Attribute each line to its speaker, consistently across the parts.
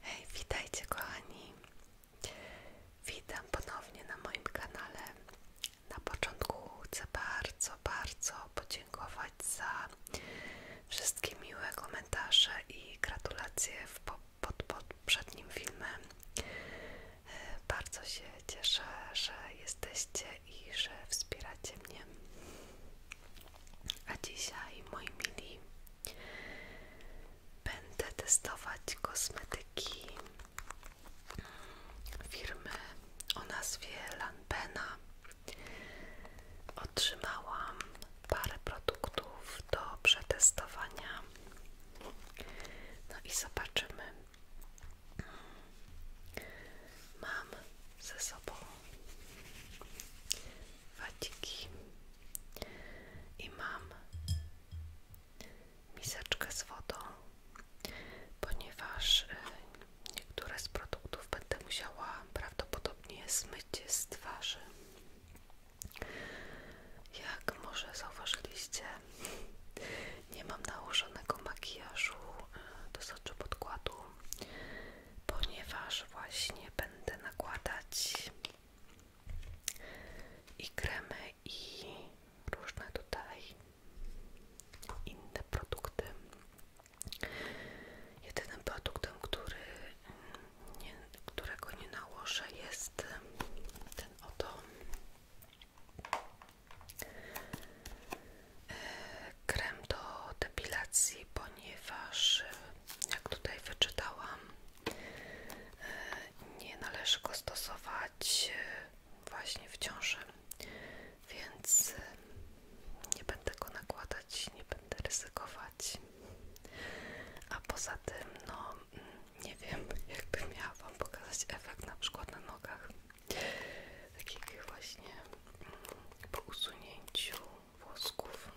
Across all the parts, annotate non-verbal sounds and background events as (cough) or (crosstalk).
Speaker 1: Hej, witajcie kochani. Witam ponownie na moim kanale. Na początku chcę bardzo, bardzo podziękować za wszystkie miłe komentarze i gratulacje w po, pod poprzednim filmem. E, bardzo się cieszę, że jesteście i że wspieracie mnie. A dzisiaj, moi mili, będę testować kosmetyki firmy o nazwie Lanbena. Otrzymałam parę produktów do przetestowania. No i zobaczymy. Mam ze sobą wadziki i mam miseczkę z wodą, ponieważ y, niektóre z produktów będę musiała prawdopodobnie zmyć z twarzy. Jak może zauważyliście, nie mam nałożonego makijażu y, do soczy podkładu ponieważ właśnie będę nakładać i kremy i różne tutaj inne produkty. Jedynym produktem, który którego nie nałożę jest ten oto krem do depilacji, ponieważ jak tutaj wyczytałam, e, nie należy go stosować e, właśnie w ciąży, więc e, nie będę go nakładać, nie będę ryzykować. A poza tym, no mm, nie wiem, (laughs) jakby miała Wam pokazać efekt na przykład na nogach, takich właśnie mm, po usunięciu włosków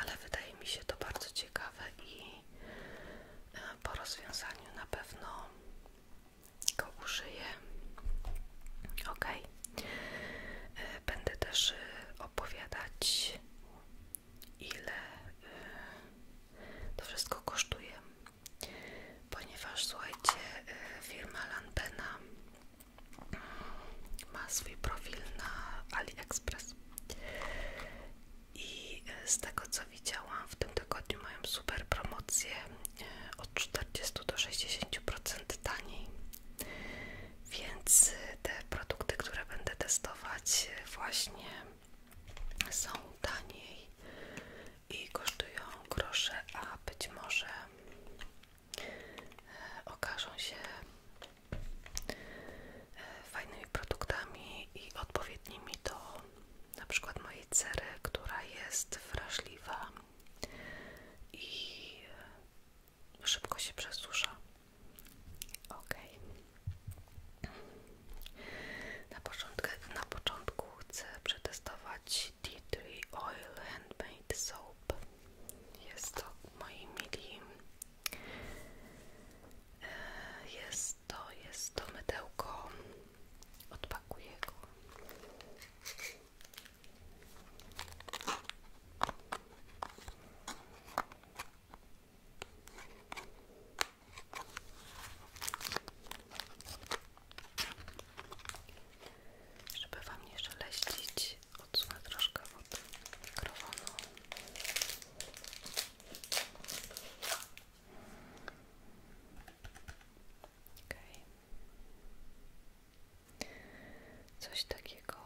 Speaker 1: ale wydaje mi się to bardzo ciekawe i e, po rozwiązaniu na pewno go użyję ok e, będę też e, opowiadać ile to wszystko kosztuje ponieważ słuchajcie firma Lampena ma swój profil na AliExpress i e, z tego co widziałam w tym tygodniu mają super promocję e, od 40 do 60% taniej więc e, te produkty, które będę testować właśnie są taniej i kosztują grosze, a być może okażą się e, fajnymi produktami i odpowiednimi do na przykład mojej cery, która jest wrażliwa i e, szybko się przesusza. Ok. Na początku, na początku chcę przetestować Tea Tree Oil Hand Handmade Soap. Jest to, moi mili, e, jest to, jest to mydełko. Odpakuję go żeby Wam nie szeleścić, odsunę troszkę od mikrofonu. Okay. Coś takiego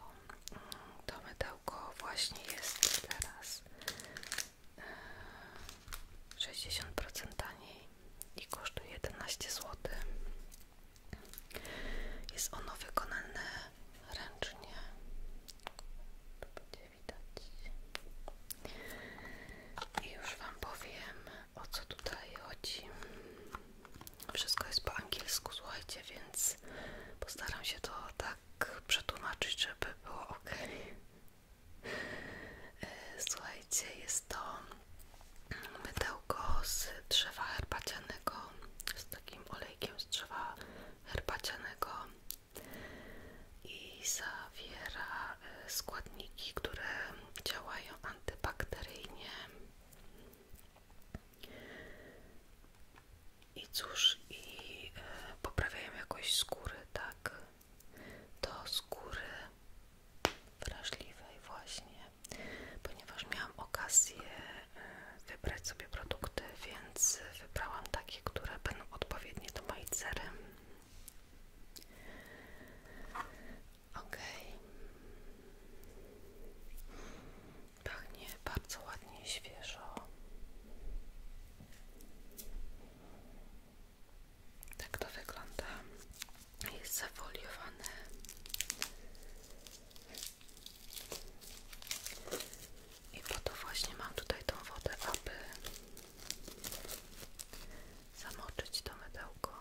Speaker 1: mm, to mydełko właśnie jest teraz e, sześćdziesiąt procent taniej i kosztuje jedenaście zł jest ono wykonane ręcznie. To będzie widać. I już Wam powiem o co tutaj chodzi. Wszystko jest po angielsku, słuchajcie, więc postaram się to tak przetłumaczyć, żeby było ok. E, słuchajcie, jest to mydełko z drzewa herbacianego, z takim olejkiem z drzewa herbacianego i zawiera e, składniki, które działają antybakteryjnie. I cóż, i e, poprawiają jakość skóry, tak? Do skóry wrażliwej właśnie ponieważ miałam okazję e, wybrać sobie produkty, więc wybrałam takie, które będą odpowiednie do mojej cery. Ok. Pachnie bardzo ładnie, świeżo. Tak to wygląda jest zafoliowane i po to właśnie mam tutaj tą wodę, aby zamoczyć to mydełko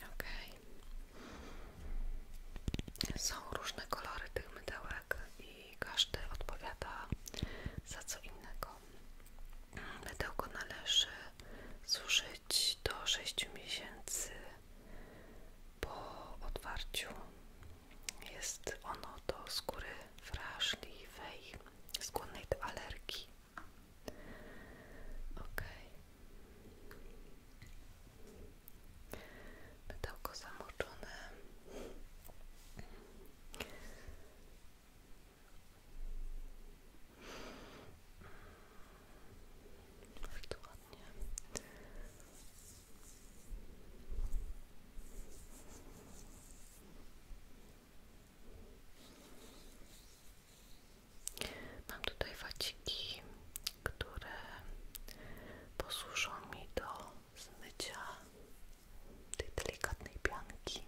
Speaker 1: okay. Są różne kolory tych mydełek i każdy odpowiada za co innego. Mydełko należy zużyć do 6 miesięcy po otwarciu. Jest ono do skóry wrażliwej, skłonnej do alergii. Okay. Pytałko zamoczone. Bardzo ładnie. Mam tutaj waciki, które posłużą mi do zmycia tej delikatnej pianki.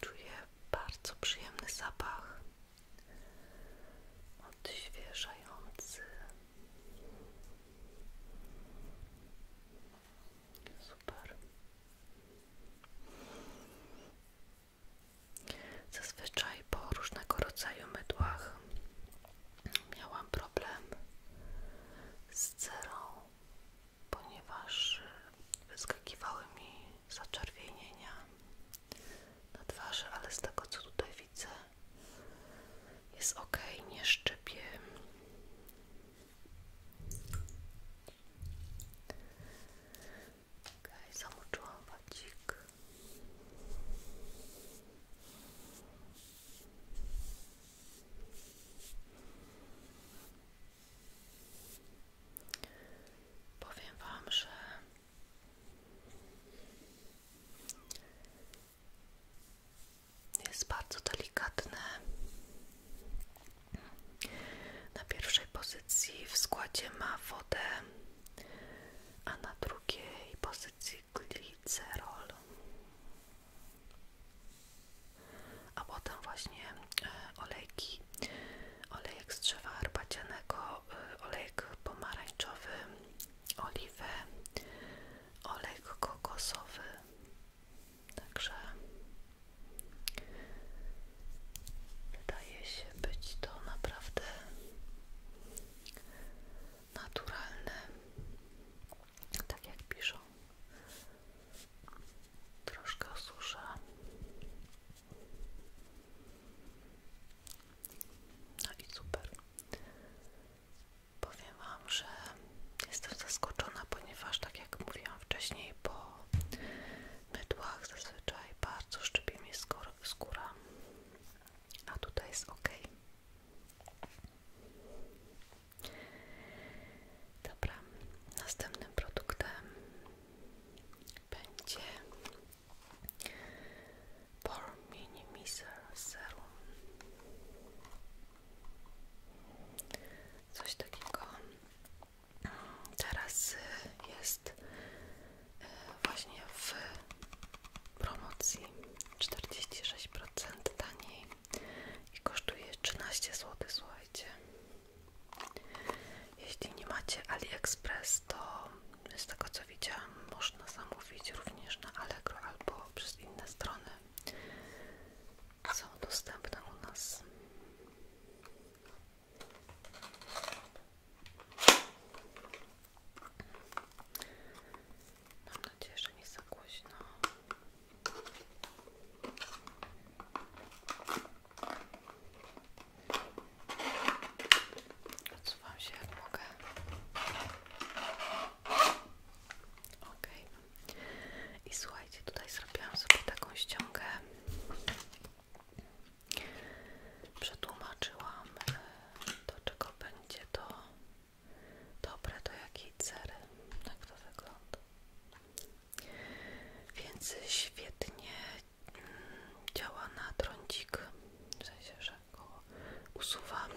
Speaker 1: Czuję bardzo przyjemny zapach, odświeżający. Zazwyczaj po różnego rodzaju mydłach miałam problem z cerą, ponieważ wyskakiwały mi zaczerwienienia na twarzy, ale z tego co tutaj widzę jest ok, nie szczypię Okej, okay, zamoczyłam Powiem Wam, że jest bardzo delikatne na pierwszej pozycji w składzie ma wodę, a na drugiej pozycji glicerol. A potem właśnie e, olejki, olejek z drzewa herbacianego, e, olejek pomarańczowy, oliwę, olejek kokosowy, Także wydaje się być to naprawdę naturalne, tak jak piszą. Troszkę susza. No i super. Powiem Wam, że Jestem zaskoczona, ponieważ tak jak mówiłam wcześniej, po mydłach zazwyczaj bardzo szczypie mi skóra, a tutaj jest ok. Dobra, następnym produktem będzie Pore Minimizer Serum. Coś takiego. Teraz y, jest y, właśnie w promocji 46% taniej i kosztuje 13 zł, słuchajcie. Jeśli nie macie AliExpress, to z tego co widziałam, można zamówić również na Allegro albo przez inne strony są dostępne u nas. Mam nadzieję, że nie za głośno. Odsuwam się jak Okej. I słuchajcie, tutaj zrobiłam sobie taką ściągę. Przetłumaczyłam e, do czego będzie to dobre, do jakiej cery. Jak to wygląda. Więc świetnie mm, działa na trądzik, w sensie, że go usuwam,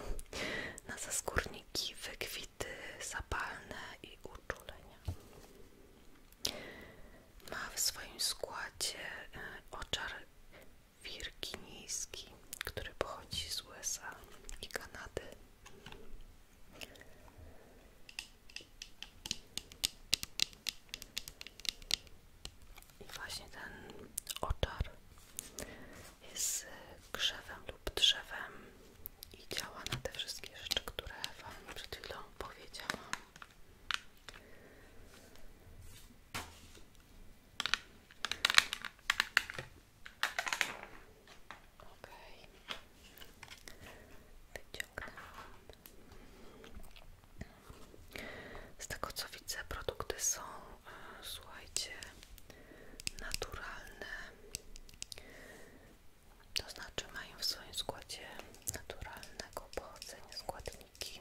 Speaker 1: na zaskórniki, wykwity zapalne i uczulenie. Ma w swoim składzie e, oczar wirginijski, który pochodzi z USA i Kanady. I właśnie ten oczar jest grzewem lub drzewem i działa na te wszystkie rzeczy, które Wam przed chwilą powiedziałam. Ok, wyciągnęłam. Z tego co widzę, produkty są, e, słuchajcie, naturalne to znaczy mają w swoim składzie naturalnego pochodzenia składniki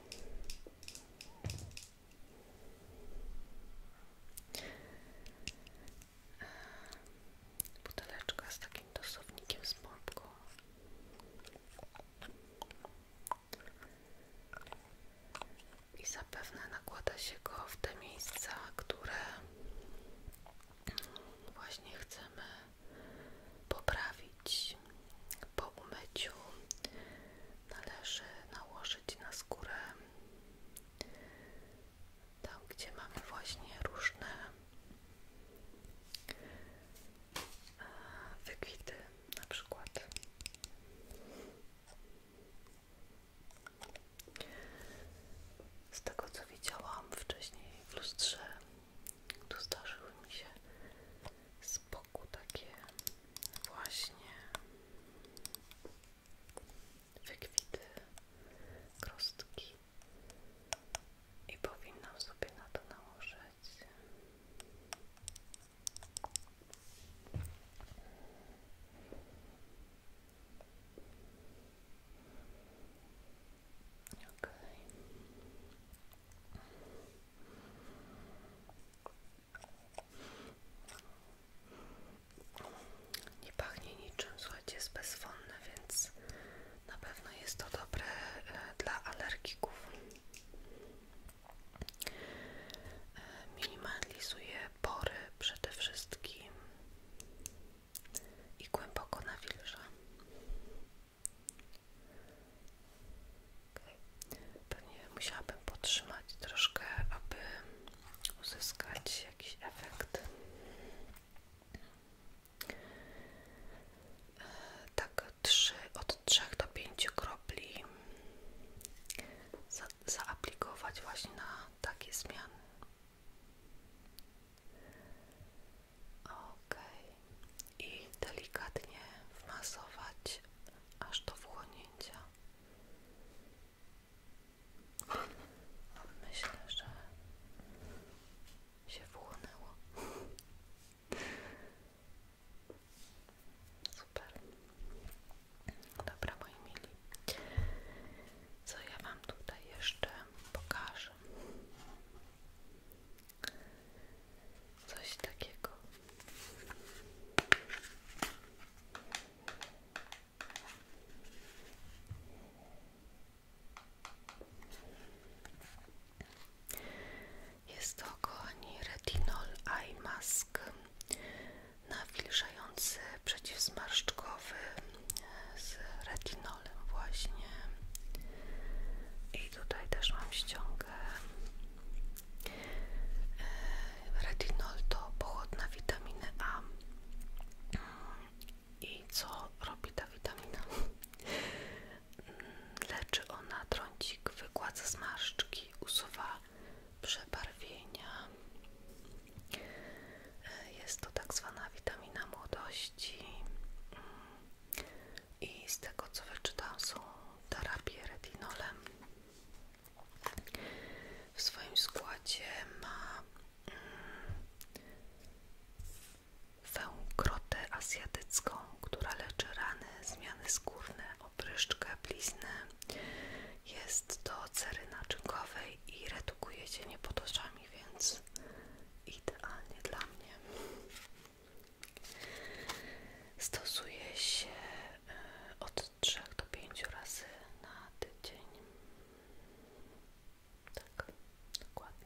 Speaker 1: buteleczka z takim dosownikiem z pompką i zapewne nakłada się go w te miejsca, które właśnie chcemy poprawić po umyciu należy nałożyć na skórę tam gdzie mamy właśnie różne e, wykwity na przykład z tego co widziałam wcześniej w lustrze, tu zdarzyły mi się z boku takie właśnie wykwity, krostki i powinnam sobie na to nałożyć nie pachnie niczym, słuchajcie, jest bezwonne, więc na pewno jest to dobre e, dla alergików. E, minimalizuje pory przede wszystkim i głęboko nawilża. Okay. Pewnie musiałabym podtrzymać troszkę, aby uzyskać jakiś efekt. E, tak, 3, od 3 do 5 kropli za, zaaplikować właśnie na takie zmiany. Ok, i delikatnie wmasować aż do wchłonięcia. Myślę, że się wchłonęło. Super. Dobra, moi mili. Co ja Wam tutaj jeszcze pokażę? Coś takiego. Jest to, kochani, retinol eye mask na nawilżający kremący przeciwzmarszczkowy e, z retinolem właśnie i tutaj też mam ściągę e, retinol to pochodna witaminy A i co robi ta witamina? Mm, leczy ona trącik, wygładza zmarszczki, usuwa przebarwienia jest to tak zwana witamina młodości i z tego co wyczytałam są terapie retinolem. W swoim składzie ma węgrotę mm, azjatycką, która leczy rany, zmiany skórne, opryszczkę, bliznę. Jest do cery naczynkowej i retinol edukuje się nie pod oczami, więc idealnie dla mnie. Stosuję się e, od trzech do pięciu razy na tydzień. Tak, dokładnie.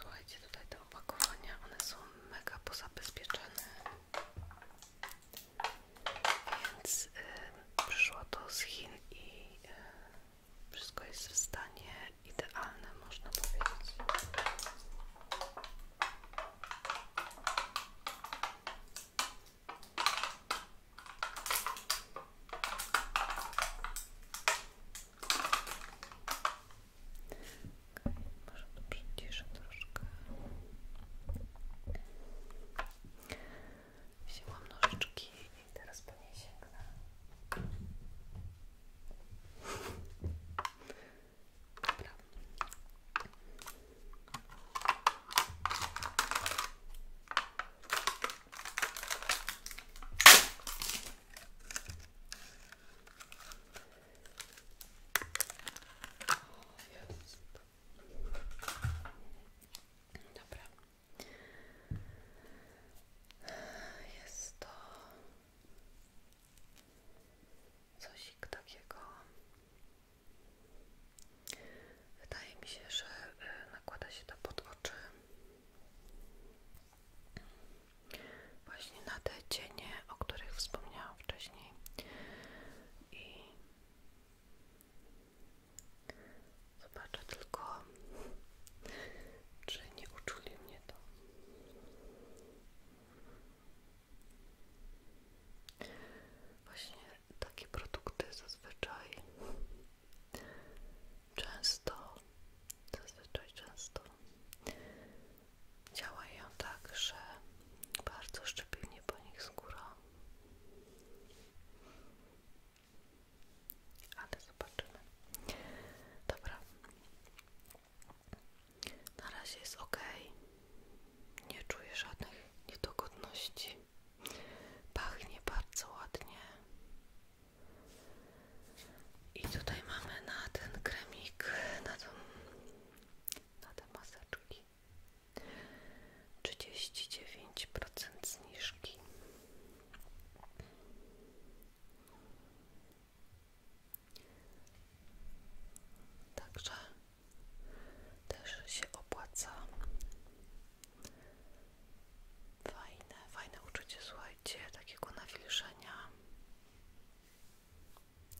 Speaker 1: Słuchajcie, tutaj te opakowania, one są mega pozabezpieczane, więc y, przyszło to z Chin i y, wszystko jest w stanie idealne, można powiedzieć. Okay, może to przyciszę troszkę. Wzięłam nożyczki i teraz po niej sięgnę. Dobra. Dobra. Jest to coś takiego Wydaje mi się, że e, nakłada się to pod oczy właśnie na te cienie, o których wspomniałam wcześniej i zobaczę tylko, czy nie uczuli mnie to. Właśnie takie produkty zazwyczaj często, zazwyczaj często działają tak, że bardzo szczepilnie po nich skóra. Ale zobaczymy. Dobra. Na razie jest ok. Nie czuję żadnych niedogodności. Pachnie bardzo ładnie. I tutaj mamy na ten kremik, na, tą, na te maseczki 39% zniżki. Także też się opłaca. Fajne, fajne uczucie, słuchajcie, takiego nawilżenia.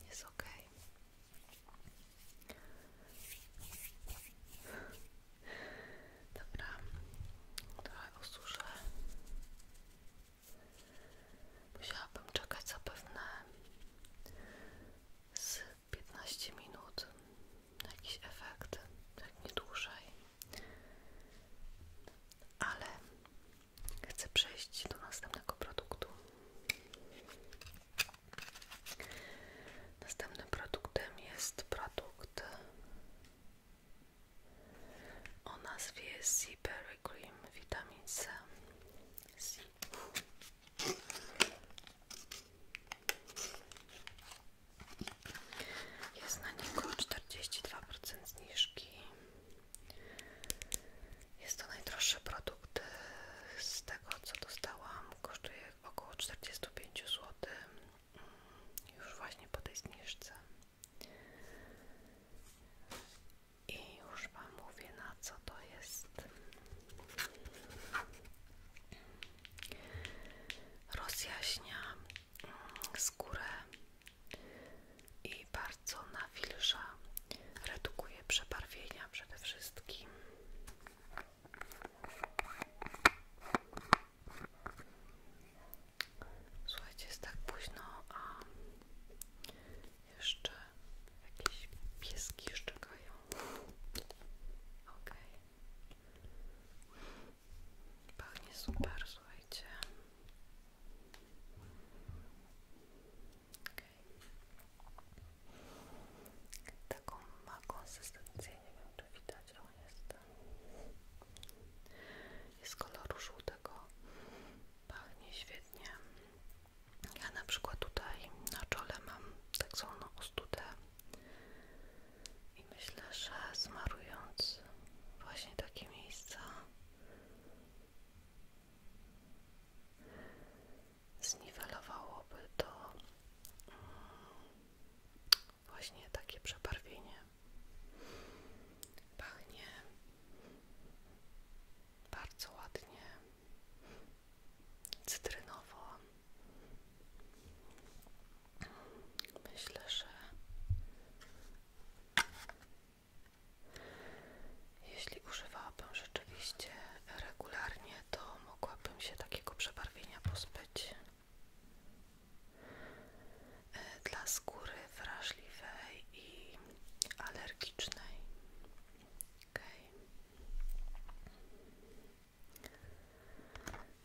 Speaker 1: Jest ok. Dobra, trochę osuszę. Musiałabym czekać zapewne z 15 minut, jakiś efekt, tak nie dłużej. Ale chcę przejść do następnego produktu. Następnym produktem jest produkt o nazwie Seaberry Cream Vitamin jest na niego 42% zniżki. Jest to najdroższy produkt z tego co dostałam. Kosztuje około 45 zł. Mm, już właśnie po tej zniżce. I już Wam mówię na co to jest. Rozjaśnia mm, skórę i bardzo nawilża, redukuje przebarwienia przede wszystkim. Słuchajcie, jest tak późno, a jeszcze jakiś pieski szczekają czekają. Pachnie super, słuchajcie. Taką ma konsystencję, nie wiem czy widać, ale jest jest koloru żółtego, pachnie świetnie. Ja na przykład tutaj na czole mam tak zwaną ostudę i myślę, że zmarując właśnie takie miejsca zniwelowałoby to mm, właśnie takie przebarwienie. Pachnie bardzo ładnie, cytrynowo. Myślę, że jeśli używałabym rzeczywiście regularnie, to mogłabym się takiego przebarwienia pozbyć. E, dla skóry wrażliwej i alergicznej.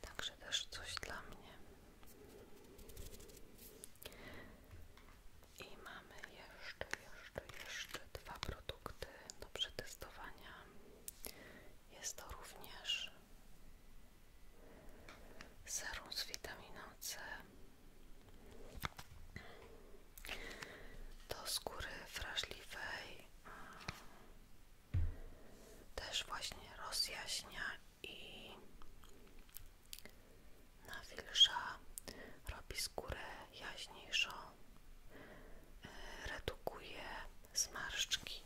Speaker 1: Także też coś dla mnie. I mamy jeszcze, jeszcze, jeszcze dwa produkty do przetestowania. Jest to również serum z witaminą C do skóry wrażliwej też właśnie rozjaśnia i nawilża, robi skórę jaśniejszą, e, redukuje zmarszczki.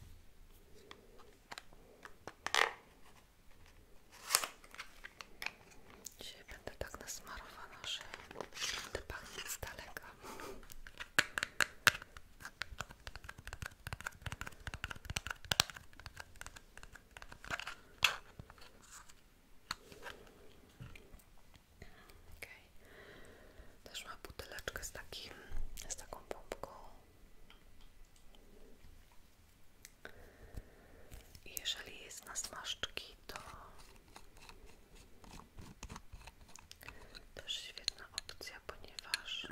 Speaker 1: Dzisiaj będę tak nasmarowana, że będę pachnieć z daleka. Okay. ma buteleczkę z takim, z taką pompką. Jeżeli jest na smażczki, to też świetna opcja, ponieważ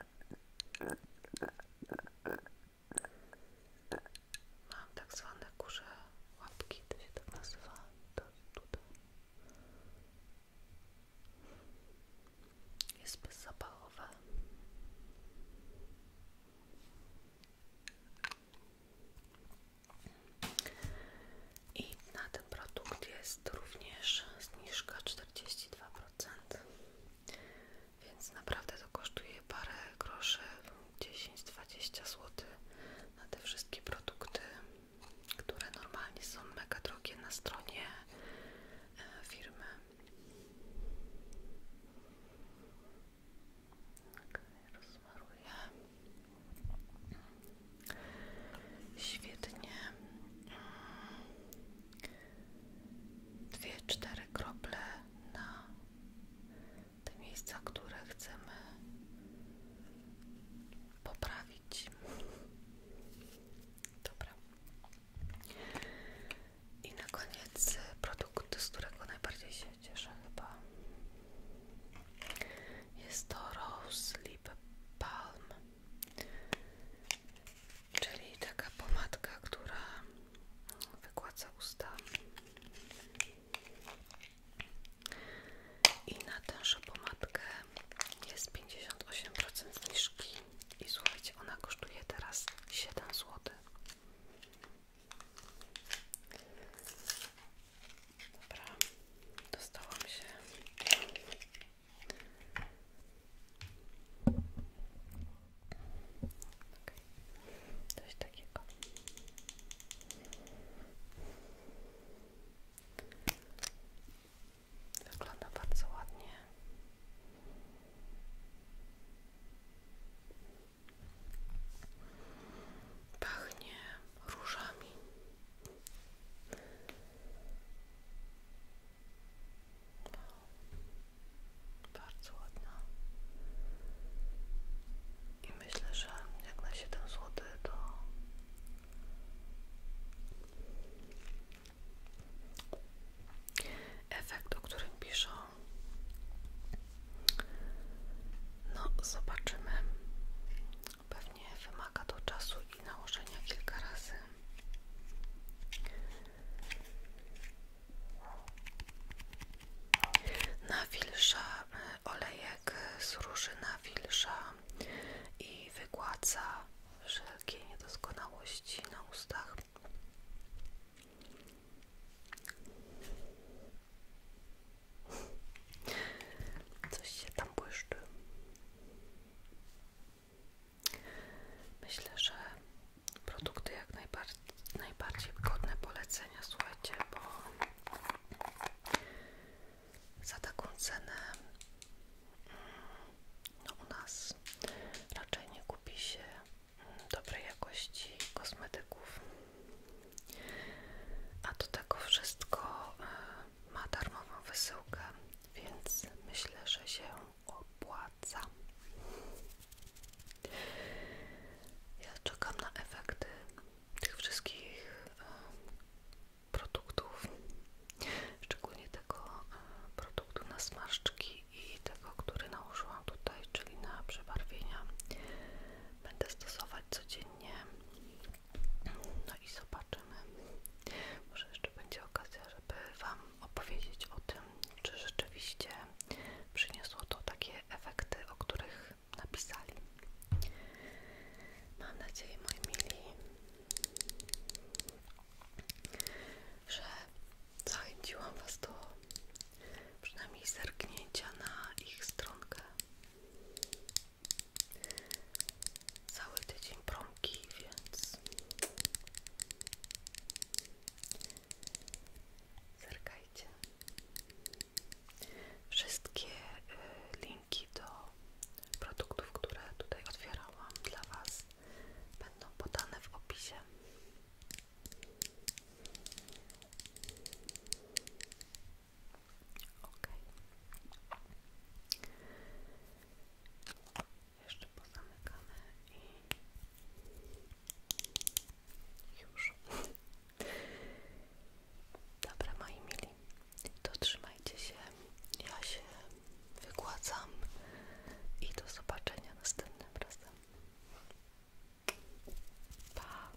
Speaker 1: mam tak zwane kurze łapki, to się tak nazywa, to tutaj jest bezzapachowe. I na ten produkt jest również zniżka 42%. Więc naprawdę to kosztuje parę groszy, 10-20 zł na te wszystkie produkty, które normalnie są mega drogie na stronie e, firmy. Okay, tak, rozmaruję. Świetnie. Dwie, cztery krople na te miejsca, które chcemy poprawić. Dobra. I na koniec produkt, z którego najbardziej się cieszę chyba. Jest to Rose Lip Balm, czyli taka pomadka, która wygładza usta. I na tę tężą pomadkę jest 58% zniżki. I słuchajcie, ona kosztuje teraz 7 zł. Dobra, dostałam się. Okay. Coś takiego. Wygląda bardzo ładnie. Pachnie różami. Bardzo ładna. I myślę, że jak na 7 zł to efekt, o którym piszą. No, zobaczymy. Pewnie wymaga to czasu i nałożenia kilka razy. Nawilża olejek z róży nawilża i wygładza wszelkie niedoskonałości na ustach. Coś się tam błyszczy. Myślę, że produkty jak najbardziej, najbardziej godne polecenia, słuchajcie, bo za taką cenę mm, no u nas raczej nie kupi się mm, dobrej jakości kosmetyków. A do tego wszystko e, ma darmową wysyłkę, więc myślę, że się opłaca. Ja czekam na efekty tych wszystkich e, produktów, szczególnie tego e, produktu na smażczki i tego, który nałożyłam tutaj, czyli na przebarwienia. Będę stosować codziennie no i zobaczymy. Może jeszcze będzie okazja, żeby Wam opowiedzieć o tym, czy rzeczywiście przyniosło to takie efekty, o których napisali. Mam nadzieję, moi mili, że zachęciłam Was do przynajmniej zerknięcia na ich stronkę. Cały tydzień promki, więc zerkajcie. Wszystkie y, linki do produktów, które tutaj otwierałam dla Was, będą podane w opisie. Ok. Jeszcze pozamykamy i już. Dobra, moi mili, to trzymajcie się. Ja się wygładzam i do zobaczenia następnym razem. Pa!